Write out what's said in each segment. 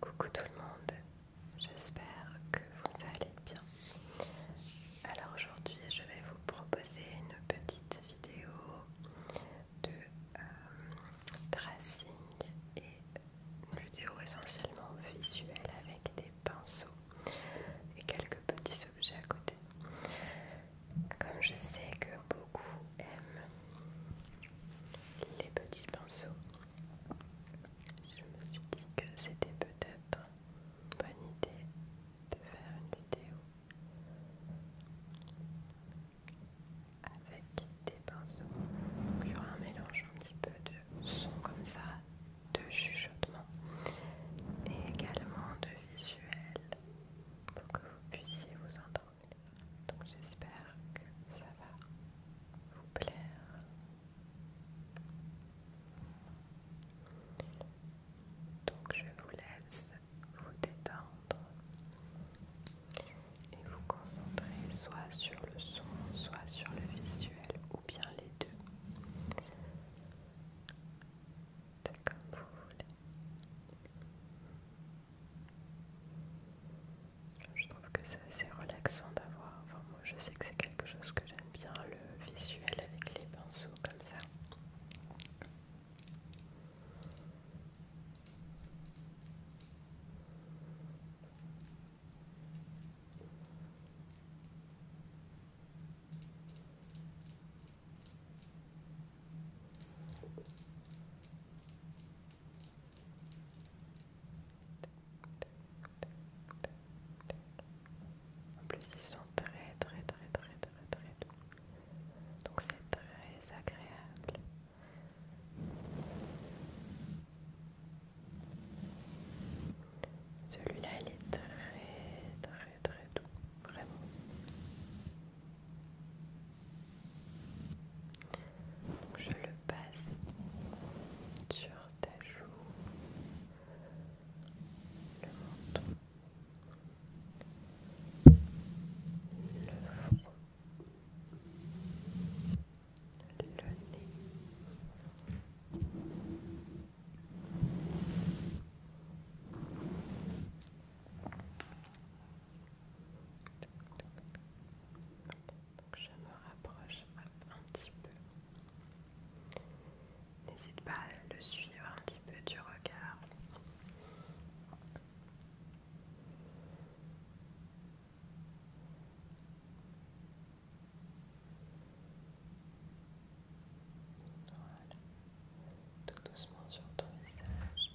Coucou tout le monde, j'espère que vous allez bien. Alors aujourd'hui je vais vous proposer une petite vidéo de euh, tracing et une vidéo essentiellement visuelle avec des pinceaux et quelques petits objets à côté. Comme je sais que beaucoup aiment les petits pinceaux, je me suis dit que c'était peut-être une bonne idée de faire une vidéo avec des pinceaux. Donc il y aura un mélange un petit peu de son comme ça, de chuchotement et également de visuel pour que vous puissiez vous entendre. Donc j'espère que ça va vous plaire. Donc je vous laisse vous détendre et vous concentrer soit sur le son, soit sur le visuel ou bien les deux. C'est vous voulez. Je trouve que c'est assez relaxant d'avoir. moi je sais que c'est quelque chose que j'aime bien, le visuel avec les pinceaux comme ça. En plus, ils sont très, très, très, très, très, très doux. Donc, c'est très agréable. Celui-là, il est très, très, très doux, vraiment. Donc je le passe sur ta joue, le menton, le front, le nez. Donc je me rapproche un petit peu. N'hésite pas à le suivre un petit peu du regard. Voilà. Tout doucement sur ton visage.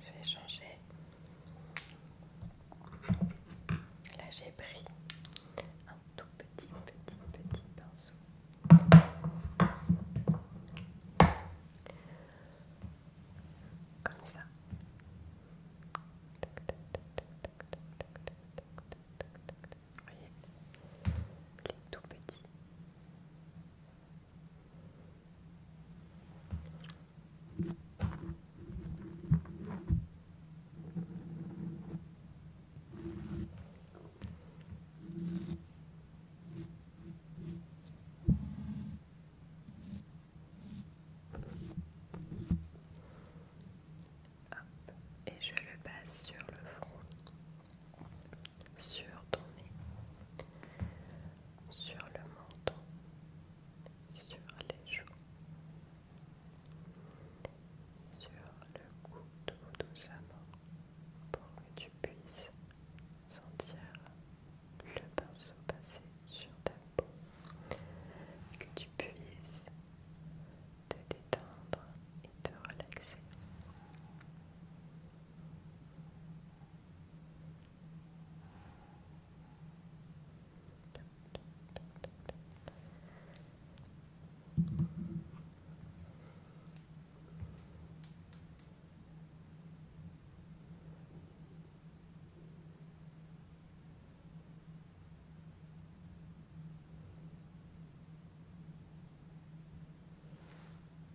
Je vais changer. Là, j'ai pris un tout petit, petit, petit pinceau. Comme ça. Vous voyez, il est tout petit et je le passe sur le front sur ton nez, sur le menton, sur les joues, sur le cou tout doucement pour que tu puisses sentir le pinceau passer sur ta peau, que tu puisses te détendre de relaxer.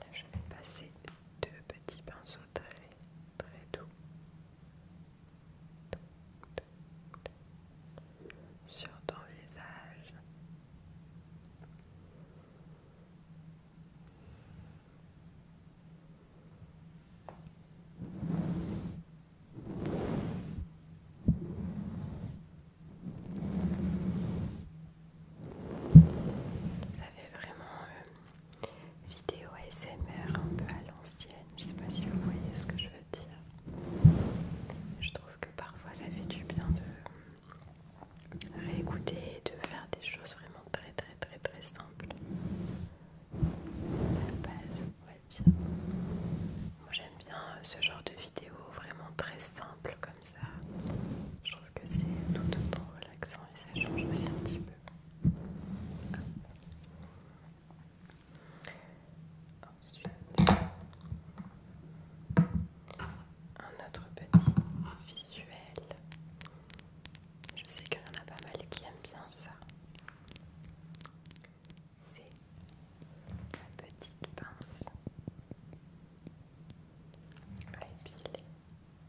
Là, je vais passer deux petits pinceaux très très doux sur ton visage. Ça fait vraiment euh, vidéo ASMR un peu à l'ancienne. Je sais pas si vous voyez ce que je veux dire. Je trouve que parfois ça fait du bien de réécouter et de faire des choses vraiment très très très très simples. La base, on va dire. Moi j'aime bien euh, ce genre de vidéo vraiment très simple comme ça. Je trouve que c'est tout autant relaxant et ça change aussi un petit peu. Ensuite, un autre petit visuel. Je sais qu'il y en a pas mal qui aiment bien ça. C'est la petite pince à épiler.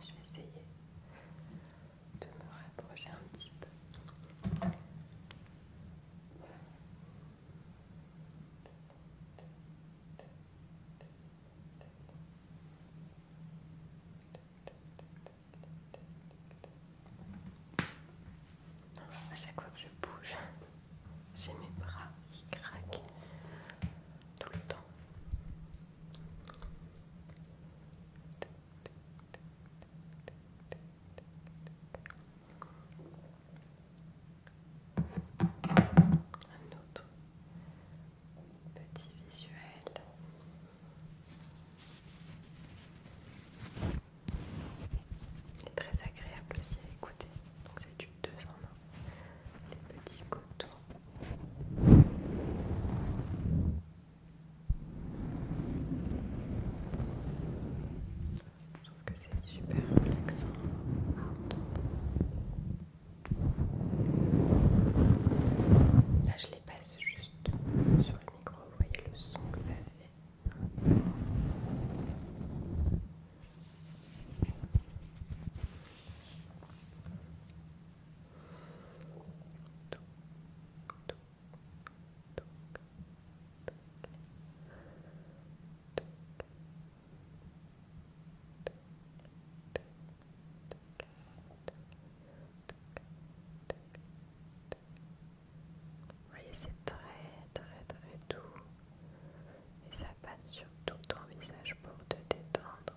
Je vais essayer de me rapprocher un petit peu. À chaque fois que je bouge, j'ai mes bras qui craquent tout le temps. Un autre petit visuel. Il est très agréable aussi à écouter. Donc c'est du deux en 1. Les petits cotons. Je trouve que c'est super relaxant Là, je les passe juste sur le micro. Vous voyez le son que ça fait voyez, c'est très très très doux et ça passe sur tout ton visage pour te détendre.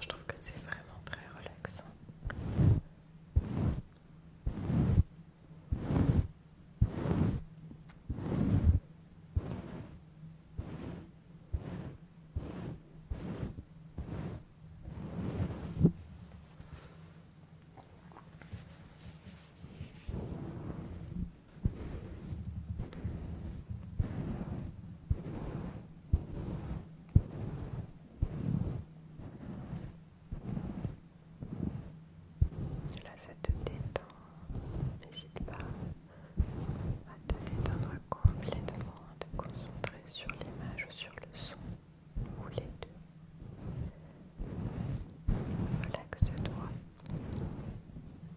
Je trouve que c'est vraiment très relaxant. Là, ça te détend. N'hésite pas à te détendre complètement, à te concentrer sur l'image ou sur le son, ou les deux. Relaxe-toi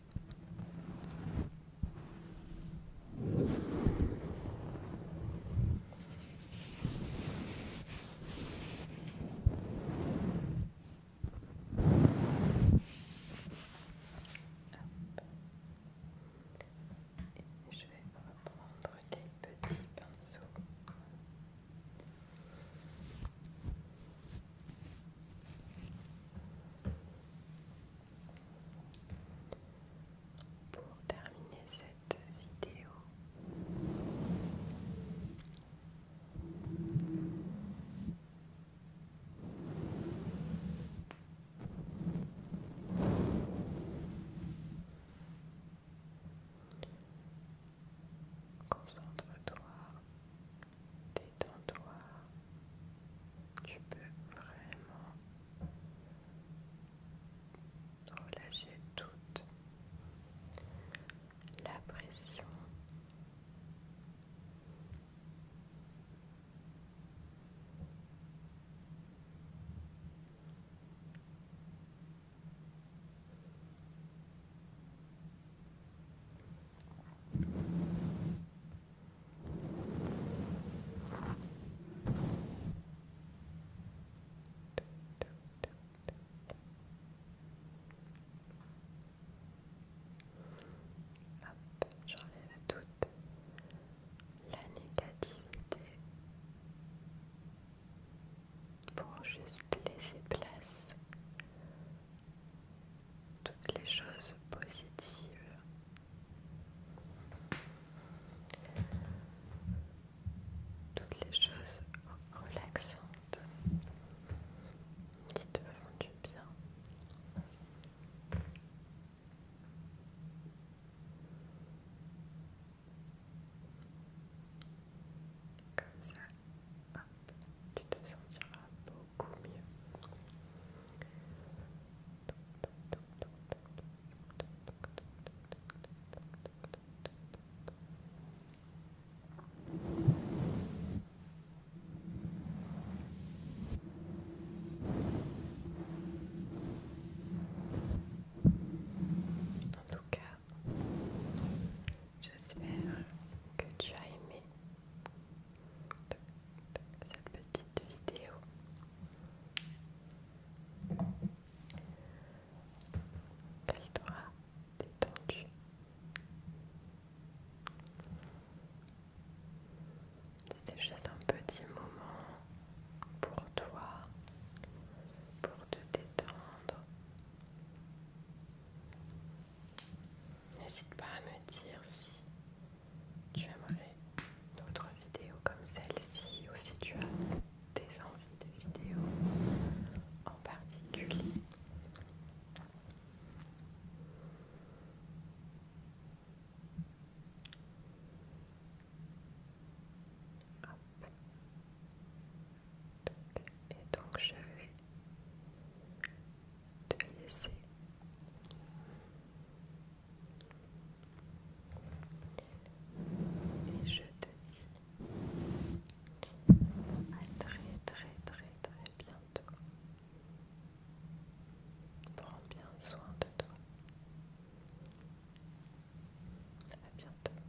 je vais reprendre des petits pinceaux. Pour terminer cette vidéo, Concentre-toi Détends-toi. Tu peux vraiment relâcher toute la pression j'enlève toute la négativité pour juste laisser place toutes les choses positives. Toutes les choses relaxantes qui te font du bien. ça, tu te sentiras beaucoup mieux. En tout cas, j'espère que tu as aimé cette petite vidéo. Qu'elle t'aura détendue. C'était juste un petit moment pour toi, pour te détendre. N'hésite pas à me dire si tu aimerais d'autres vidéos comme celle-ci ou si tu as des envies de vidéos en particulier et donc je vais te laisser et je te dis à très très très très bientôt prends bien soin de toi à bientôt